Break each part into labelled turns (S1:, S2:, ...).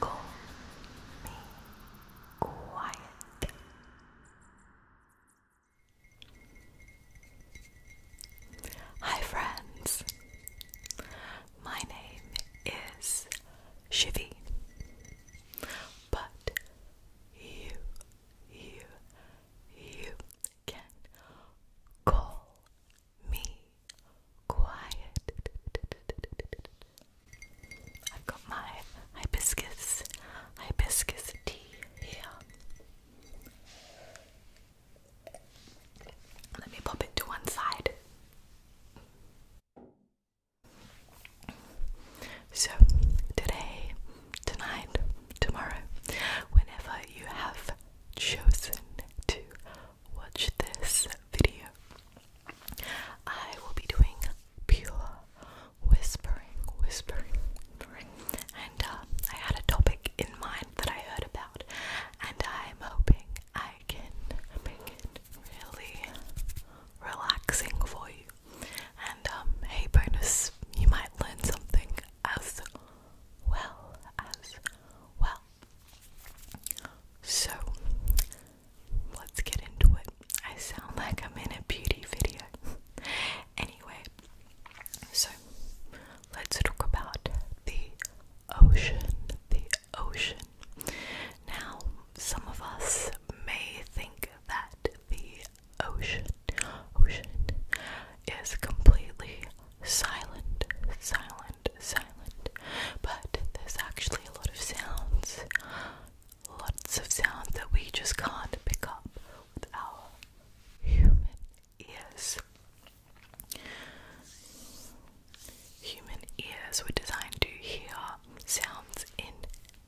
S1: Call me quiet. Hi, friends. My name is Shivy, but you, you, you can call me quiet. I've got my hibiscus, hibiscus tea here. Let me pop it to one side. So, today, tonight, tomorrow, whenever you have chosen to watch this video, I will be doing pure whispering, whispering, And uh, I had a topic in mind that I heard about, and I'm hoping I can make it really relaxing for you. And um, hey, bonus, you might learn something as well as well. So let's get into it. I sound like I'm in a beauty video. anyway, so let's talk about the ocean. The ocean. Now, some of us may think that the ocean, ocean, is completely silent, silent, silent. But there's actually a lot of sounds, lots of sounds that we just can't pick up with our human ears. Human ears were designed to hear sounds in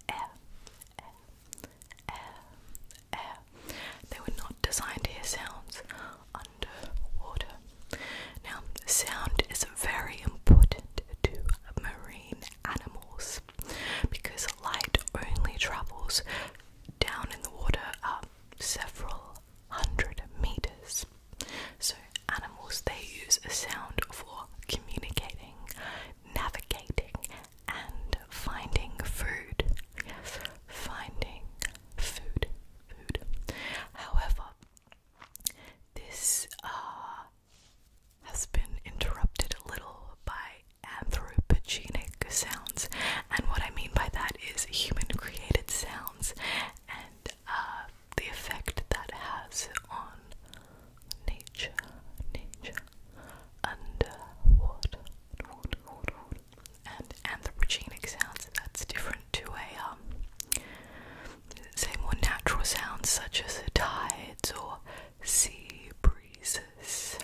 S1: air, air. They were not designed to hear sounds underwater. Now, sound is very important to marine animals because light only travels down in the water several hundred meters. So, animals they use sound for communicating, navigating, and finding food finding food. Food. However, this uh, has been interrupted a little by anthropogenic sounds, and what I mean by that is human-created sounds and uh, the effect that has on nature, nature, underwater, water, and anthropogenic sounds, that's different to a, um, say more natural sounds such as tides or sea breezes.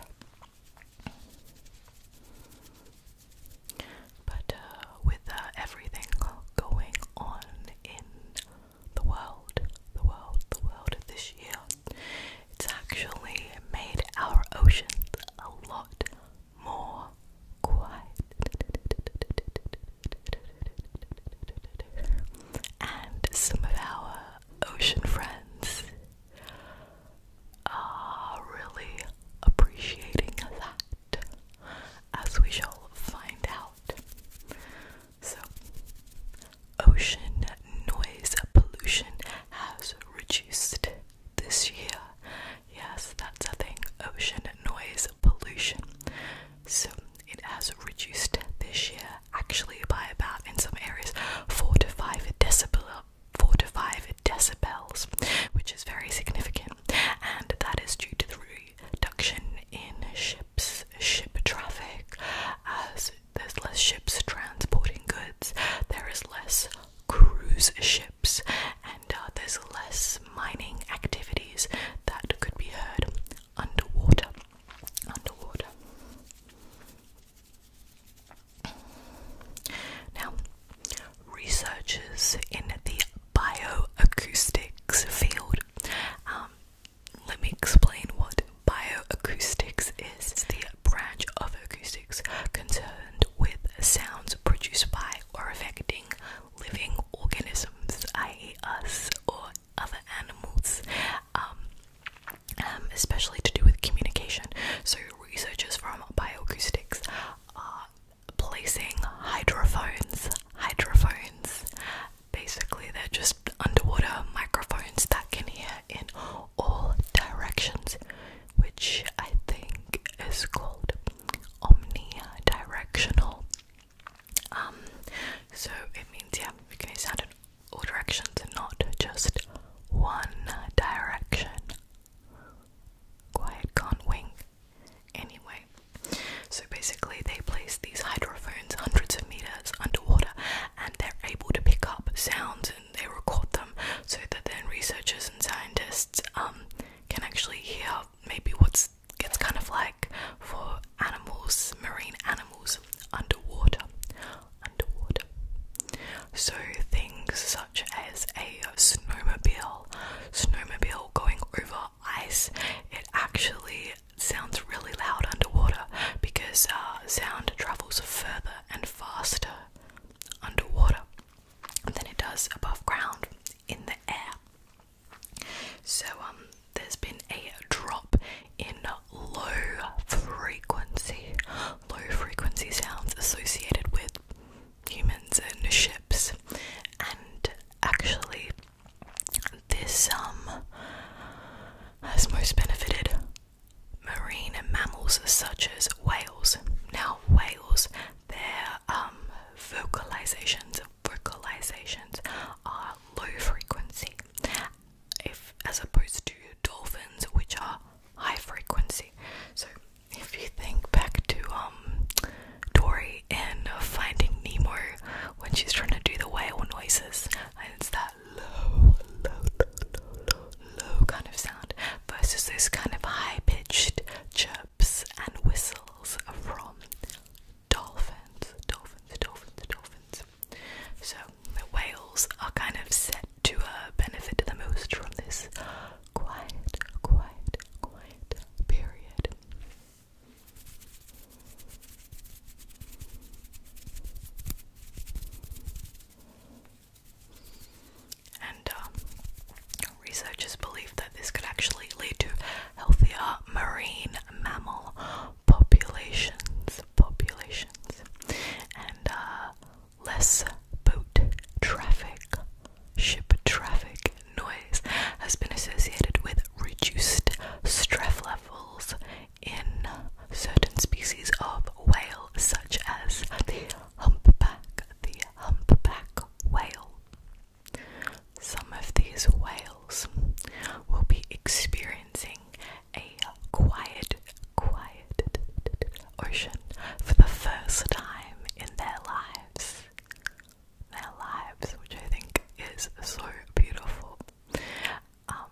S1: But uh, with uh, everything going on in the world, the world, the world of this year, it's actually made our oceans a lot more quiet and some of our ocean friends are really appreciating that as we shall find out so ocean noise pollution has reduced this year. Yes, that's a thing ocean noise pollution. So it has reduced this year actually by about in some areas four to five decibel four to five decibels, which is very significant, and that is due to the reduction in ships ship traffic as there's less ships transporting goods, there is less cruise ships, and uh, there's less mining activities that could be heard underwater. Underwater. Now, researchers in the bioacoustics field. Um, let me explain what bioacoustics is. It's the branch of acoustics concerned with sounds produced by or affecting living organisms, i.e., us or other animals, um, um, especially to do with communication. So, researchers from bioacoustics are placing hydrophones, hydrophones. Basically, they're just underwater microphones that can hear in all directions which I think is called omnidirectional. Um, so it means yeah, we can use in all directions and not just one direction. Quiet can't wing. Anyway, so basically they place these hydrophones hundreds of meters underwater and they're able to pick up sounds and they record them so that then researchers and scientists um, can actually hear maybe what's gets kind of like for animals, marine animals underwater. Underwater. So things such as a snowmobile, snowmobile going over ice, it actually sounds really loud underwater because uh, sound travels further and faster underwater than it does above ground in the air. So um there's been a drop in low frequency low frequency sounds associated with humans and ships and actually this um has most benefited marine mammals such as whales. Now, whales, their um, vocalizations, vocalizations are low frequency, as opposed to dolphins, which are high frequency. So, if you think back to um, Dory in Finding Nemo when she's trying to do the whale noises, and it's that low, low, low, low kind of sound versus those kind of high pitched chirps and whistles from dolphins, dolphins, dolphins, dolphins. So the whales are kind of set to benefit the most from this quiet, quiet, quiet period. And um, researchers believe that this could actually lead to healthier marine mammal populations, populations, and uh, less boat traffic, ship traffic noise has been associated with reduced stress levels in certain species of whale, such as the humpback, the humpback whale. Some of these whales will be experiencing a quiet, quiet ocean for the first time in their lives. Their lives, which I think is so beautiful. Um,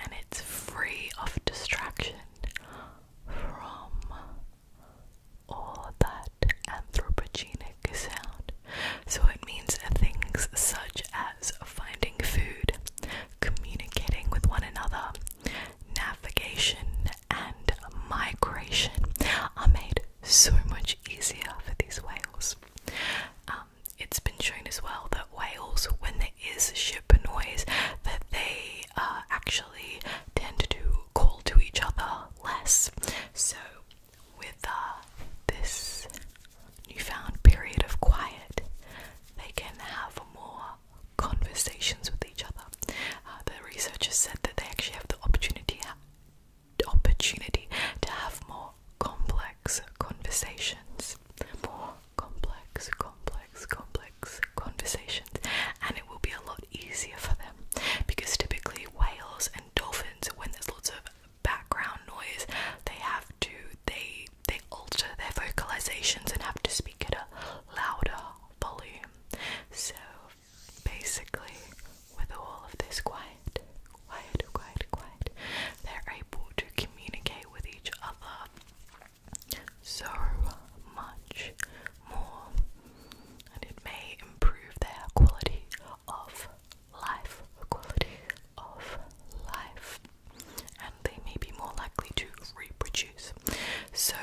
S1: and it's free of distraction from all that anthropogenic sound. So it means things such as finding food, communicating with one another, navigation, and migration are made so much easier for these whales. Um, it's been shown as well that whales, when is ship noise that they uh, actually tend to call to each other less. So, with uh, this newfound period of quiet, they can have more conversations with each other. Uh, the researchers said that they actually have the opportunity opportunity to have more complex conversations, complex, complex, complex conversations, and it will be a lot easier for them because typically whales and dolphins, when there's lots of background noise, they have to they they alter their vocalizations and have to speak at a louder volume. So basically, with all of this quiet, quiet, quiet, quiet, they're able to communicate with each other so much more, and it may improve their quality of life, quality of life, and they may be more likely to reproduce. So,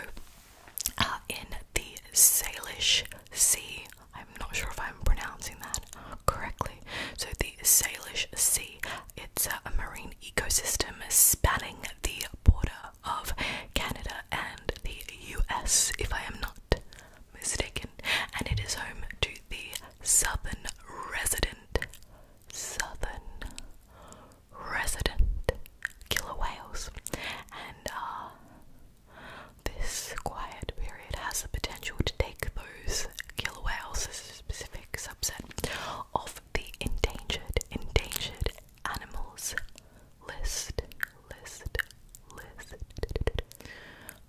S1: uh, in the Salish Sea, I'm not sure if I'm pronouncing that correctly. So, the the Salish Sea. It's a marine ecosystem spanning the border of Canada and the US, if I am not mistaken, and it is home to the southern resident, southern resident killer whales, and uh, this quiet period has the potential to take those killer whales, a specific subset of the endangered endangered animals list list list.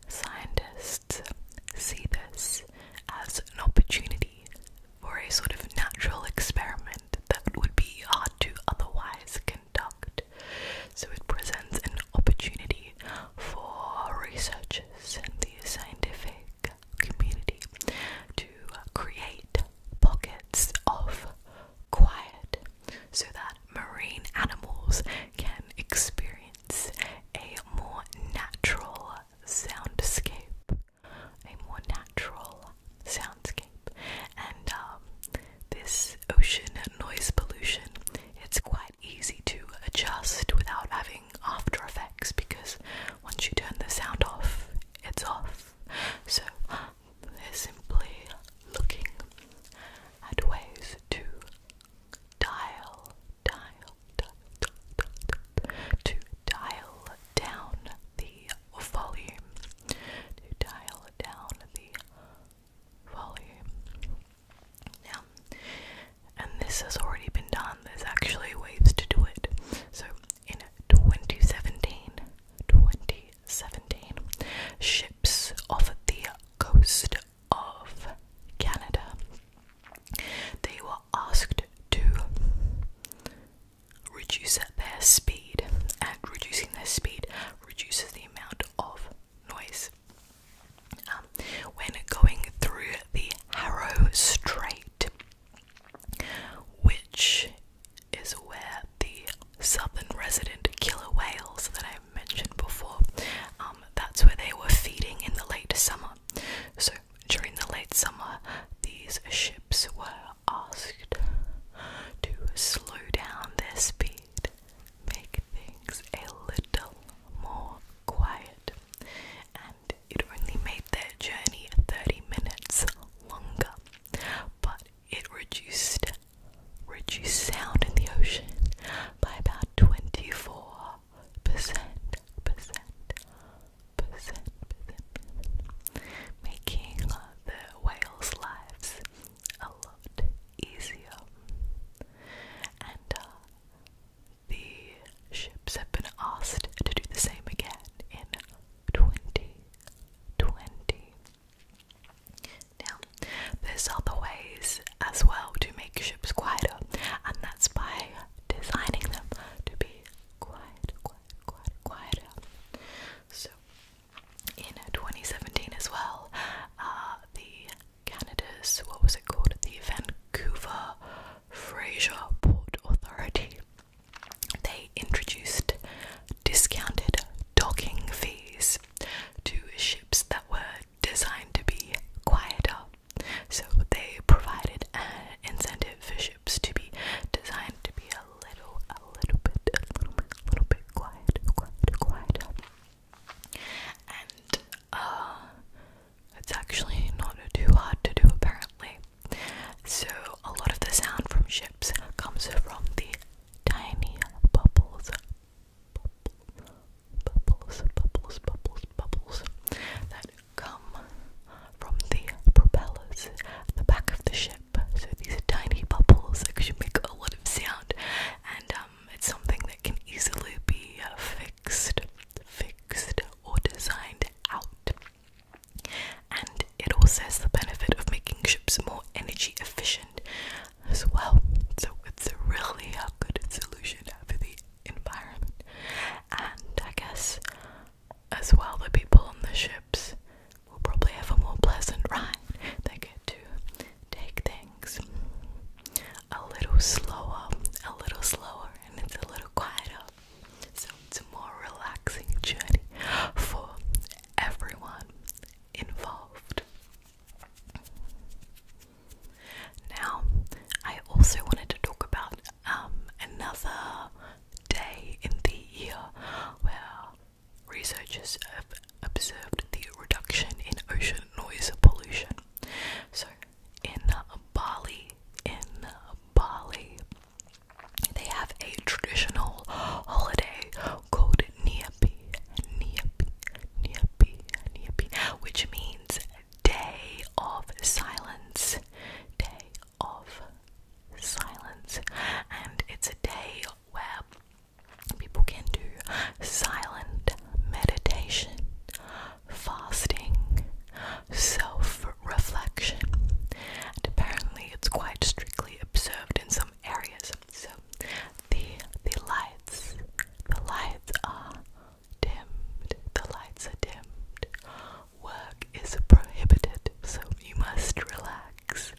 S1: Scientists see this as an opportunity for a sort of natural experiment that would be hard to otherwise conduct. So it presents an opportunity for researchers and the scientific community to create pockets of quiet so that marine animals can experience a more natural soundscape. A more natural soundscape. And um, this ocean noise pollution, it's quite easy to adjust without having after Effects because once you turn the sound off, it's off. So they're simply looking at ways to dial, dial, dial, dial to dial down the volume, to dial down the volume. Now, and this has already been done. There's actually ways to do it. So in 2017, 2017, ships off the coast of Canada, they were asked to reduce their speed, and reducing their speed reduces the amount of noise. Um, when going through the Harrow Strait, which is where the southern resident killer whales that I mentioned before, um, that's where they were feeding in the late summer. So during the late summer, these ships were asked to slow down their speed, make things a little more quiet, it only made their journey 30 minutes longer, but it reduced reduced sound in the ocean by about 24 percent, percent, percent, percent, making the whales' lives a lot easier. Uh, the ships have been asked to do the same again in 2020. Now, there's other ways as well to make ships quieter, and that's by designing them to be quiet, quiet, quiet, quieter. So, in 2017 as well, uh, the Canada's what was it called? The Vancouver Fraser Port Authority. They introduced discounted docking fees to ships that were designed to be quieter. So they provided an incentive for ships to be designed to be a little, a little bit, a little bit, a little bit quieter. Uh, it's actually not too hard to do, apparently. So, a lot of the sound from ships comes from the tiny bubbles. Bubble, bubbles, bubbles, bubbles, bubbles that come from the propellers at the back of the ship. So, these tiny bubbles actually make a lot of sound, and um, it's something that can easily be uh, Fixed or designed out. And it also has the benefit of making ships more energy efficient as well. So it's a really a good solution for the environment. And I guess as well the people on the ships will probably have a more pleasant ride. They get to take things a little slower, a little slower, and it's a little quieter. So it's a more relaxing journey for everyone involved. Now, I also wanted to talk about um, another day in the year where researchers have observed the reduction in ocean noise pollution. So, in Bali. In Bali, they have a traditional holiday called Niapi, Niapi, Niapi, Niapi, which means day of silence. Day of silence. And it's a day where people can do silent meditation fasting, self reflection, and apparently it's quite strictly observed in some areas. So the the lights the lights are dimmed. The lights are dimmed. Work is prohibited, so you must relax.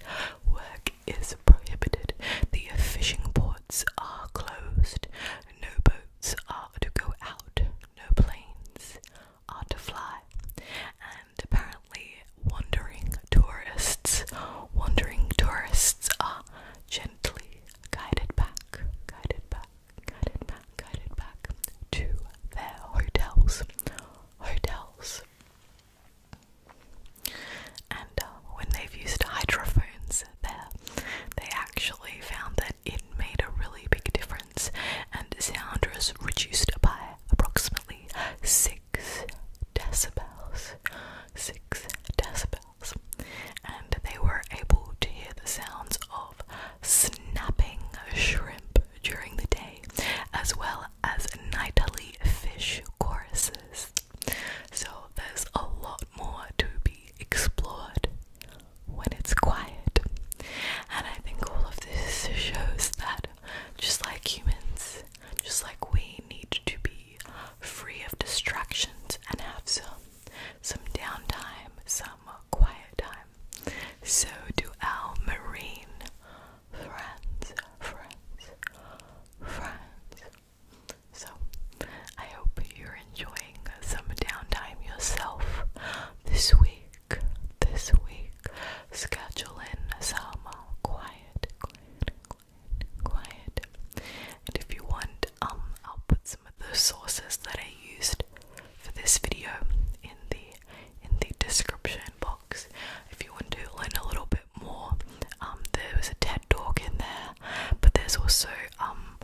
S1: Work is prohibited. The fishing ports are closed. No boats are to go out, no planes are to fly. And apparently, wandering tourists, wandering tourists are gently guided back, guided back, guided back, guided back to their hotels, hotels. And uh, when they've used hydrophones there. They actually found that it made a really big difference, and sound was reduced by approximately six decibels. Six decibels, and they were able to hear the sounds of snapping shrimp during the day, as well as nightly fish choruses. So there's a lot more to be explored when it's quiet. And I think all of this shows that just like humans, just like we need to be free of distractions and have some some downtime, some quiet time. So do our marine friends, friends, friends, so, I hope you're enjoying some downtime yourself this week. This week, scheduling some quiet, quiet, quiet, quiet. And if you want, um, I'll put some of the sources that I used for this video in the in the description box. If you want to learn a little bit more, um, there was a TED talk in there. But there's also um,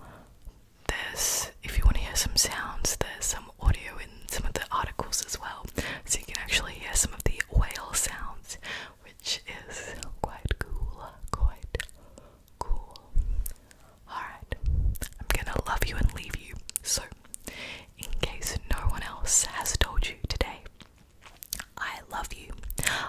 S1: there's if you want to hear some sounds, there's some audio in some of the articles as well. So you can actually hear some of the whale sounds, which is quite cool. Quite cool. Alright. I'm gonna love you and leave you. So in case no one else has told you today, I love you.